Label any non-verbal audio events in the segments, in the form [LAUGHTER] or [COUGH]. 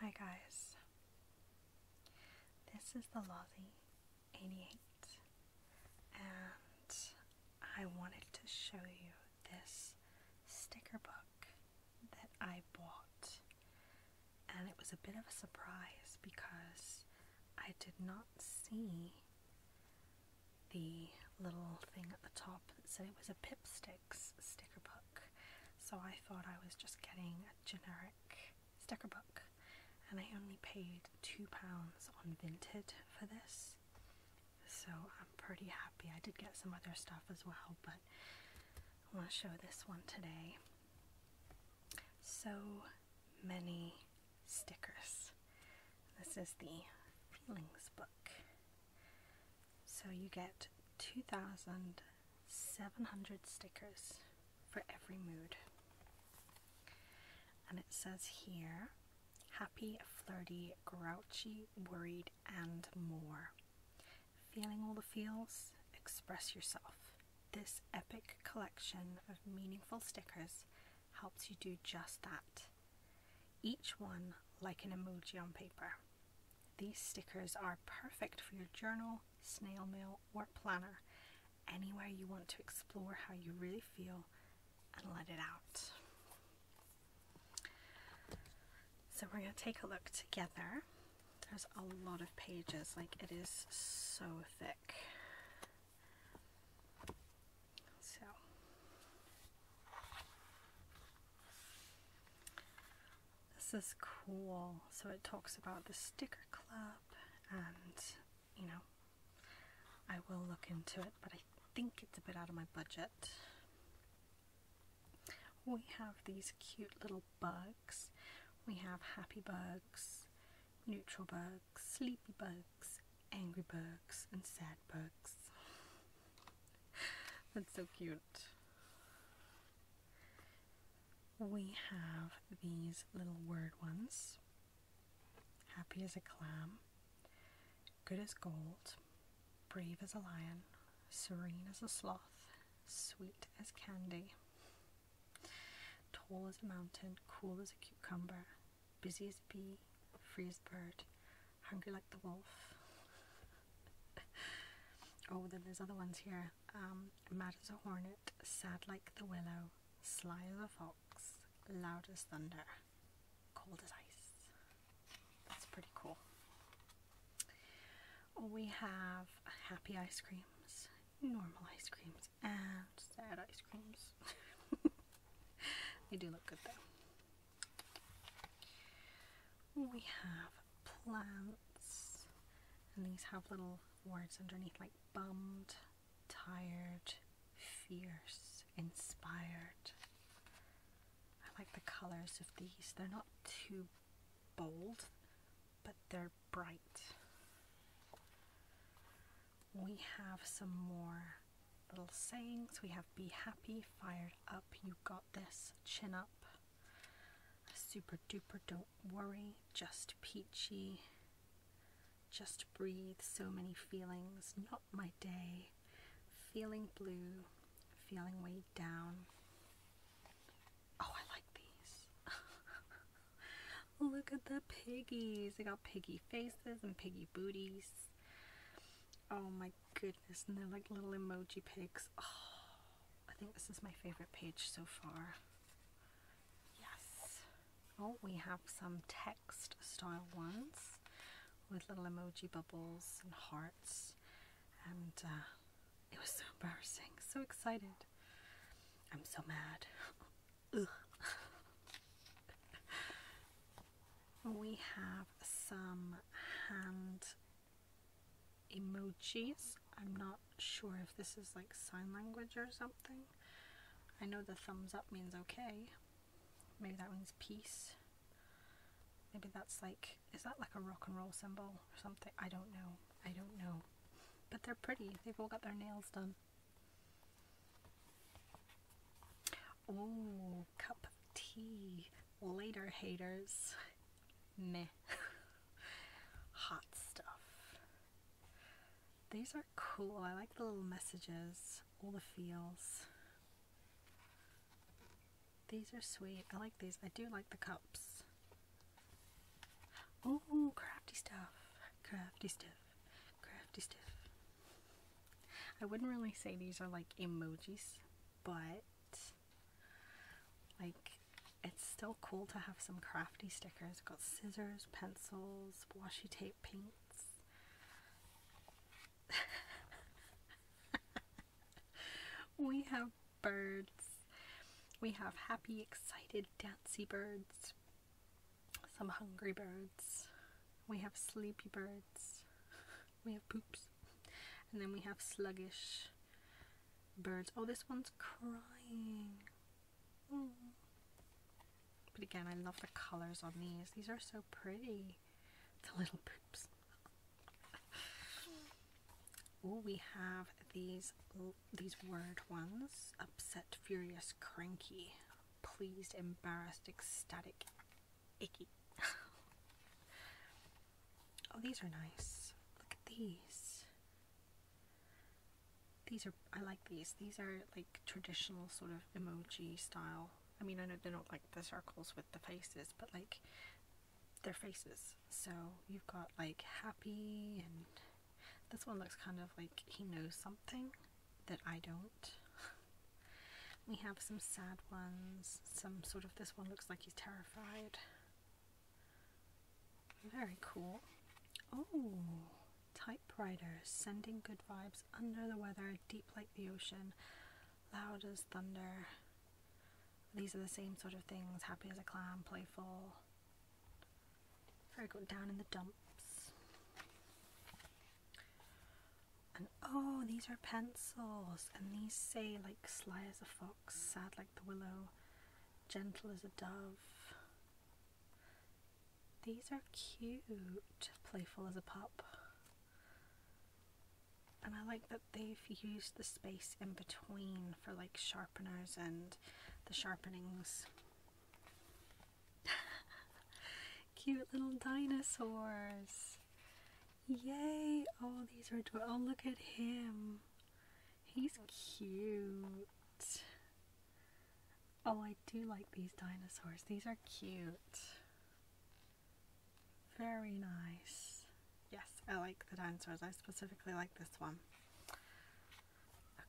Hi guys, this is the Lottie 88 and I wanted to show you this sticker book that I bought and it was a bit of a surprise because I did not see the little thing at the top that said it was a Pipsticks sticker book. So I thought I was just getting a generic sticker book, and I only paid £2 on Vinted for this. So I'm pretty happy. I did get some other stuff as well, but I want to show this one today. So many stickers. This is the Feelings book. So you get 2,700 stickers for every mood. And it says here happy, flirty, grouchy, worried, and more. Feeling all the feels? Express yourself. This epic collection of meaningful stickers helps you do just that. Each one like an emoji on paper. These stickers are perfect for your journal, snail mail, or planner, anywhere you want to explore how you really feel and let it out. So we're going to take a look together. There's a lot of pages, like it is so thick. So this is cool. So it talks about the sticker club and, you know, I will look into it, but I think it's a bit out of my budget. We have these cute little bugs. We have happy bugs, neutral bugs, sleepy bugs, angry bugs, and sad bugs. [LAUGHS] That's so cute. We have these little word ones happy as a clam, good as gold, brave as a lion, serene as a sloth, sweet as candy, tall as a mountain, cool as a cucumber, busy as a bee, free as bird, Hungry Like the Wolf. [LAUGHS] oh, then there's other ones here. Um, Mad as a Hornet, Sad Like the Willow, Sly as a Fox, Loud as Thunder, Cold as Ice. That's pretty cool. We have happy ice creams, normal ice creams, and sad ice creams. [LAUGHS] they do look good though. We have plants, and these have little words underneath like bummed, tired, fierce, inspired. I like the colours of these. They're not too bold, but they're bright. We have some more little sayings. We have be happy, fired up, you got this, chin up, super duper, don't worry, just peachy, just breathe, so many feelings, not my day, feeling blue, feeling weighed down. Oh, I like these. [LAUGHS] Look at the piggies. They got piggy faces and piggy booties. Oh my goodness, and they're like little emoji pigs. Oh, I think this is my favorite page so far. Yes. Oh, we have some text style ones with little emoji bubbles and hearts. And uh, it was so embarrassing, so excited. I'm so mad. [LAUGHS] [LAUGHS] we have some hand emojis. I'm not sure if this is like sign language or something. I know the thumbs up means okay. Maybe that means peace. Maybe that's like, is that like a rock and roll symbol or something? I don't know. I don't know. But they're pretty. They've all got their nails done. Oh, cup of tea. Later, haters. Meh. [LAUGHS] Hot stuff. These are cool. I like the little messages, all the feels. These are sweet. I like these. I do like the cups. Oh, crafty stuff. Crafty stuff. Crafty stuff. I wouldn't really say these are like emojis, but like it's still cool to have some crafty stickers. got scissors, pencils, washi tape, paints. [LAUGHS] we have birds. We have happy, excited, dancing birds. Some hungry birds we have sleepy birds, we have poops, and then we have sluggish birds. Oh, this one's crying. Mm. But again, I love the colors on these. These are so pretty. The little poops. [LAUGHS] oh, we have these these word ones: upset, furious, cranky, pleased, embarrassed, ecstatic, icky. [LAUGHS] oh, these are nice. Look at these. These are, I like these. These are like traditional sort of emoji style. I mean, I know they don't like the circles with the faces, but like their faces. So you've got like happy and this one looks kind of like he knows something that I don't. [LAUGHS] we have some sad ones, some sort of this one looks like he's terrified. Very cool. Oh, typewriter, sending good vibes, under the weather, deep like the ocean, loud as thunder. These are the same sort of things, happy as a clam, playful. Very good, down in the dumps. And oh, these are pencils, and these say like sly as a fox, sad like the willow, gentle as a dove. These are cute, playful as a pup. And I like that they've used the space in between for like sharpeners and the sharpenings. [LAUGHS] Cute little dinosaurs. Yay! Oh, these are adorable. Oh, look at him. He's cute. Oh, I do like these dinosaurs. These are cute. Very nice. Yes, I like the dinosaurs. I specifically like this one.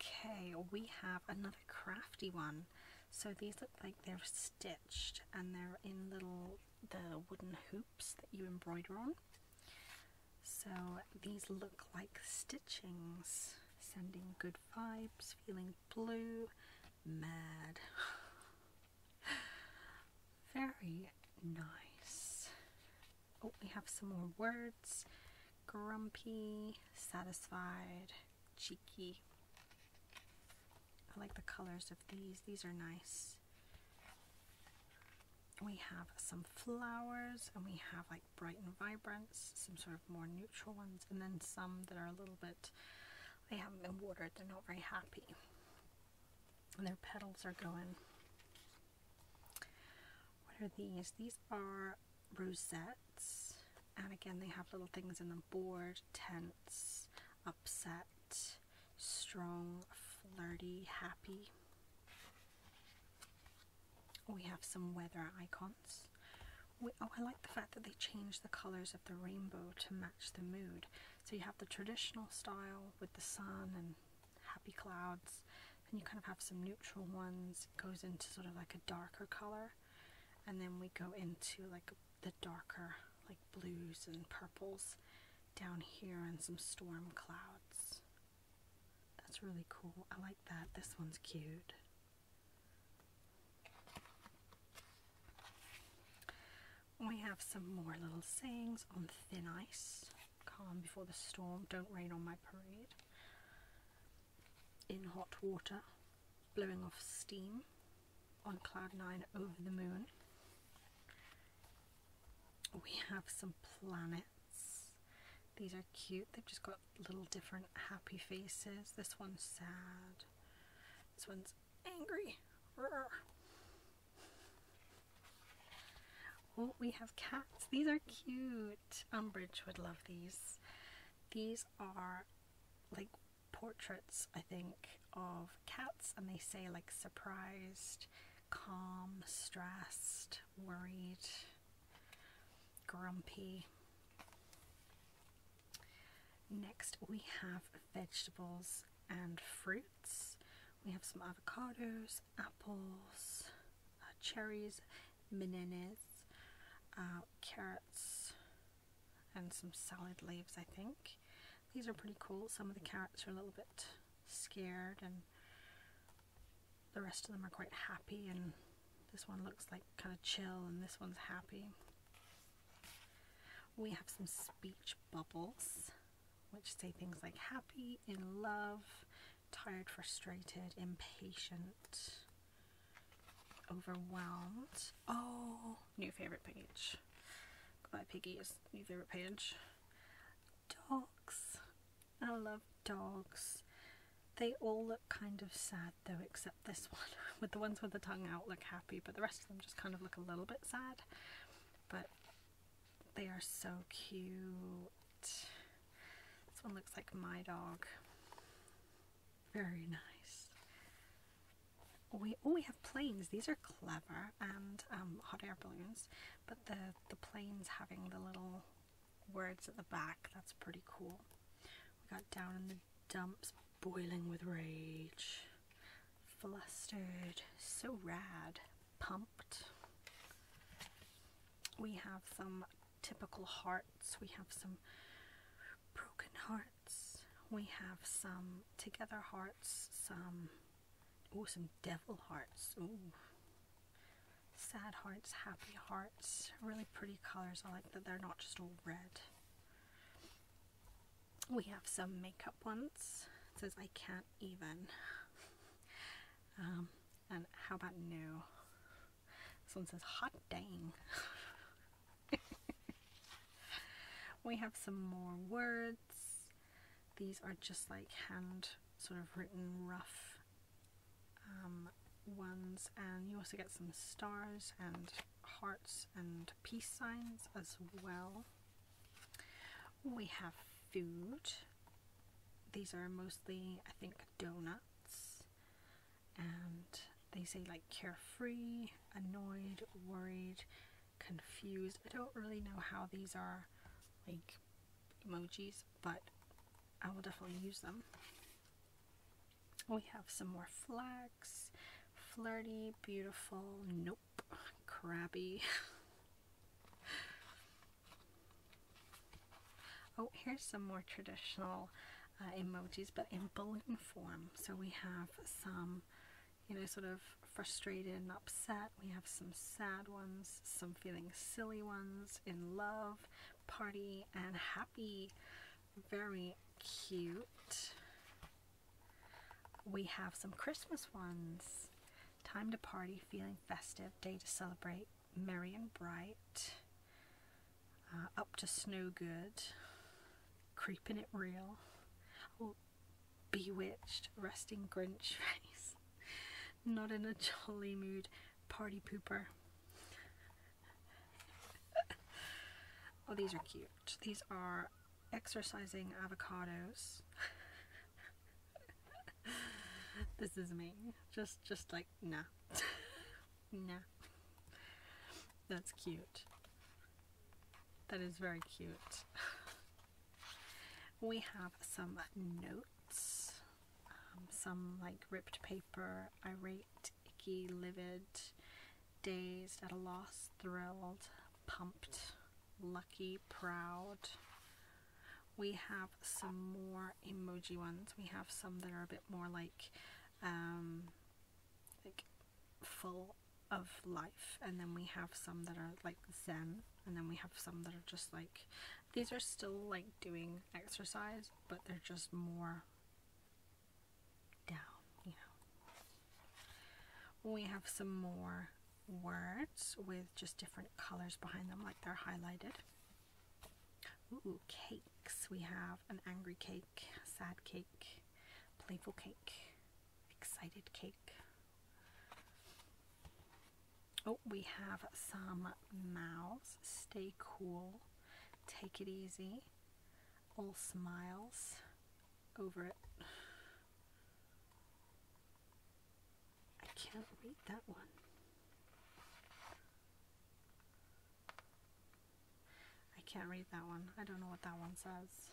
Okay, we have another crafty one. So these look like they're stitched and they're in little the wooden hoops that you embroider on. So these look like stitchings, sending good vibes, feeling blue, mad. [LAUGHS] Very nice. Oh, we have some more words. Grumpy, satisfied, cheeky. I like the colors of these. These are nice. We have some flowers and we have like bright and vibrance, some sort of more neutral ones, and then some that are a little bit, they haven't been watered, they're not very happy. And their petals are going. What are these? These are rosettes and again they have little things in them Board, tense upset strong flirty happy we have some weather icons oh, i like the fact that they change the colors of the rainbow to match the mood so you have the traditional style with the sun and happy clouds and you kind of have some neutral ones goes into sort of like a darker color and then we go into like the darker like blues and purples down here and some storm clouds that's really cool I like that this one's cute we have some more little sayings on thin ice calm before the storm don't rain on my parade in hot water, blowing off steam on cloud nine over the moon. We have some planets. These are cute. They've just got little different happy faces. This one's sad. This one's angry. Oh, we have cats. These are cute. Umbridge would love these. These are like portraits, I think, of cats, and they say like surprised, calm, stressed, worried, grumpy. Next, we have vegetables and fruits. We have some avocados, apples, uh, cherries bananas, uh, carrots, and some salad leaves, I think. These are pretty cool. Some of the carrots are a little bit scared and the rest of them are quite happy and this one looks like kind of chill and this one's happy. We have some speech bubbles which say things like happy, in love, tired, frustrated, impatient, Overwhelmed. Oh, new favorite page. My piggy new favorite page. Dogs. I love dogs. They all look kind of sad though, except this one. [LAUGHS] with the ones with the tongue out look happy, but the rest of them just kind of look a little bit sad. But they are so cute. This one looks like my dog. Very nice. We oh we have planes. These are clever and um, hot air balloons, but the the planes having the little words at the back. That's pretty cool. We got down in the dumps, boiling with rage, flustered, so rad, pumped. We have some typical hearts. We have some broken hearts. We have some together hearts. Some oh, some devil hearts. Ooh, sad hearts, happy hearts. Really pretty colors. I like that they're not just all red. We have some makeup ones. It says I can't even. [LAUGHS] Um, and how about new? This one says, hot dang. [LAUGHS] we have some more words. These are just like hand sort of written rough um, ones and you also get some stars and hearts and peace signs as well. We have food. These are mostly, I think, donuts and they say like carefree, annoyed, worried, confused. I don't really know how these are like emojis, but I will definitely use them. We have some more flags, flirty, beautiful, nope, crabby. [LAUGHS] Oh, here's some more traditional uh, emojis, but in balloon form. So we have some, you know, sort of frustrated and upset. We have some sad ones, some feeling silly ones, in love, party, and happy. Very cute. We have some Christmas ones. Time to party, feeling festive, day to celebrate, Merry and Bright, uh, Up to Snow Good, Creeping It Real, oh, Bewitched, Resting Grinch Face, [LAUGHS] Not in a Jolly Mood, Party Pooper. [LAUGHS] oh, these are cute. These are exercising avocados. [LAUGHS] this is me. Just, just like. No, [LAUGHS] nah. That's cute. That is very cute. [LAUGHS] we have some notes, um, some like ripped paper, irate, icky, livid, dazed, at a loss, thrilled, pumped, lucky, proud, we have some more emoji ones. We have some that are a bit more like, um, like full of life, and then we have some that are like zen, and then we have some that are just like these are still like doing exercise, but they're just more down, you know. We have some more words with just different colors behind them, like they're highlighted. Ooh, cakes. We have an angry cake, sad cake, playful cake, excited cake. Oh, we have some mouths. Stay cool, take it easy, all smiles, over it. I can't read that one. I can't read that one. I don't know what that one says.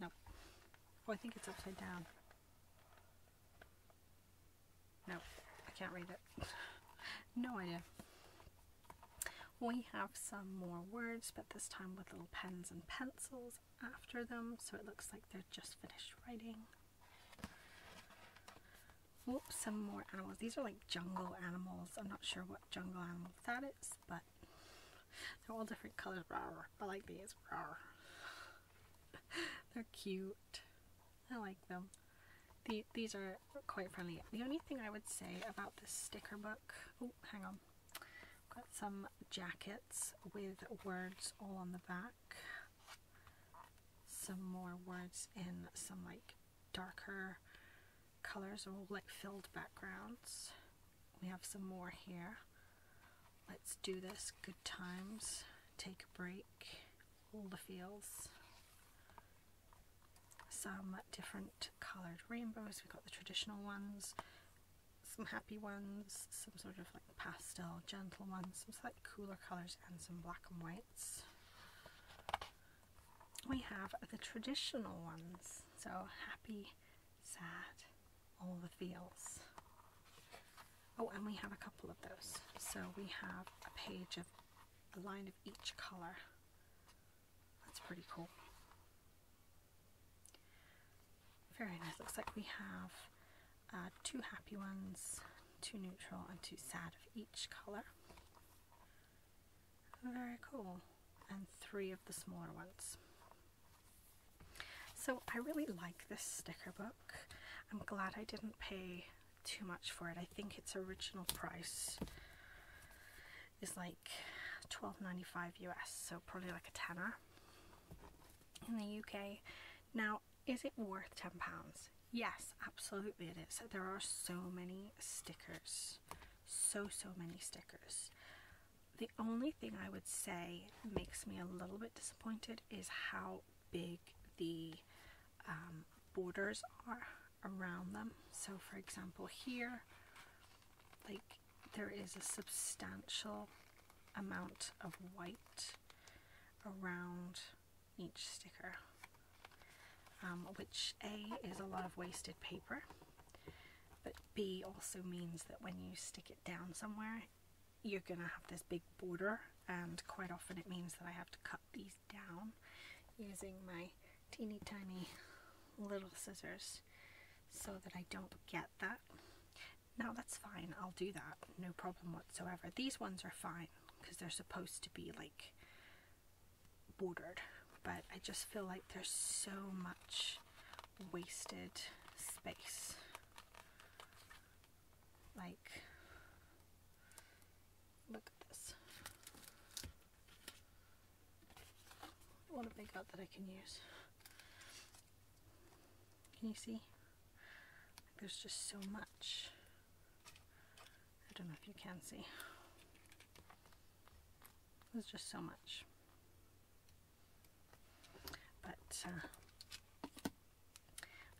Nope. Oh, I think it's upside down. No, I can't read it. [LAUGHS] no idea. We have some more words, but this time with little pens and pencils, after them so it looks like they're just finished writing. Whoops, some more animals. These are like jungle animals. I'm not sure what jungle animal that is, but they're all different colors. Rawr. I like these. [LAUGHS] they're cute. I like them. these are quite friendly. The only thing I would say about this sticker book, oh, hang on, Got some jackets with words all on the back. Some more words in some like darker colors or like filled backgrounds. We have some more here. Let's do this. Good times. Take a break. All the feels. Some different colored rainbows. We've got the traditional ones some happy ones, some sort of like pastel, gentle ones, some slightly cooler colours and some black and whites. We have the traditional ones, so happy, sad, all the feels. Oh, and we have a couple of those. So we have a page of a line of each colour. That's pretty cool. Very nice. Looks like we have uh, two happy ones, two neutral, and two sad of each color. Very cool. And three of the smaller ones. So I really like this sticker book. I'm glad I didn't pay too much for it. I think its original price is like 12.95 US, so probably like a tenner in the UK. Now, is it worth £10? Yes, absolutely it is. There are so many stickers. So, so many stickers. The only thing I would say makes me a little bit disappointed is how big the um, borders are around them. So for example here, like there is a substantial amount of white around each sticker um, which A is a lot of wasted paper but B also means that when you stick it down somewhere you're gonna have this big border and quite often it means that I have to cut these down using my teeny tiny little scissors so that I don't get that. Now that's fine, I'll do that, no problem whatsoever. These ones are fine because they're supposed to be like bordered, but I just feel like there's so much wasted space. Like, look at this. I want a big hat that I can use. Can you see? There's just so much. I don't know if you can see. There's just so much. But uh,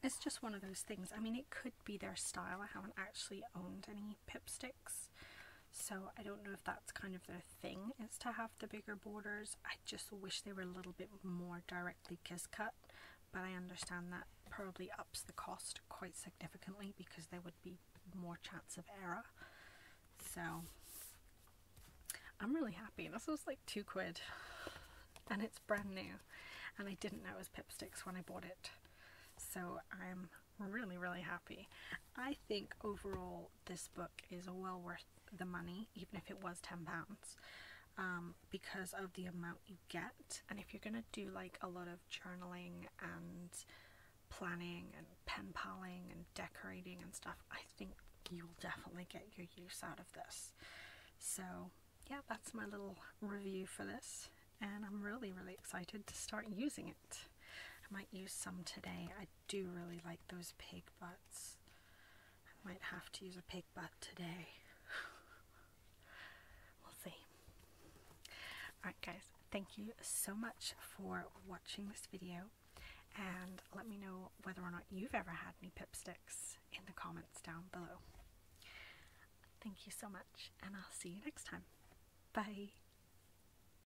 it's just one of those things. I mean, it could be their style. I haven't actually owned any pipsticks. So I don't know if that's kind of their thing is to have the bigger borders. I just wish they were a little bit more directly kiss cut, but I understand that probably ups the cost quite significantly because there would be more chance of error. So I'm really happy. This was like two quid and it's brand new and I didn't know it was Pipsticks when I bought it. So I'm really, really happy. I think overall this book is well worth the money, even if it was ten pounds, um, because of the amount you get. And if you're gonna do like a lot of journaling and planning and pen paling and decorating and stuff, I think you'll definitely get your use out of this. So yeah, that's my little review for this, and I'm really really excited to start using it. I might use some today. I do really like those pig butts. I might have to use a pig butt today. [LAUGHS] we'll see. Alright guys, thank you so much for watching this video and let me know whether or not you've ever had any pipsticks in the comments down below. Thank you so much and I'll see you next time. Bye!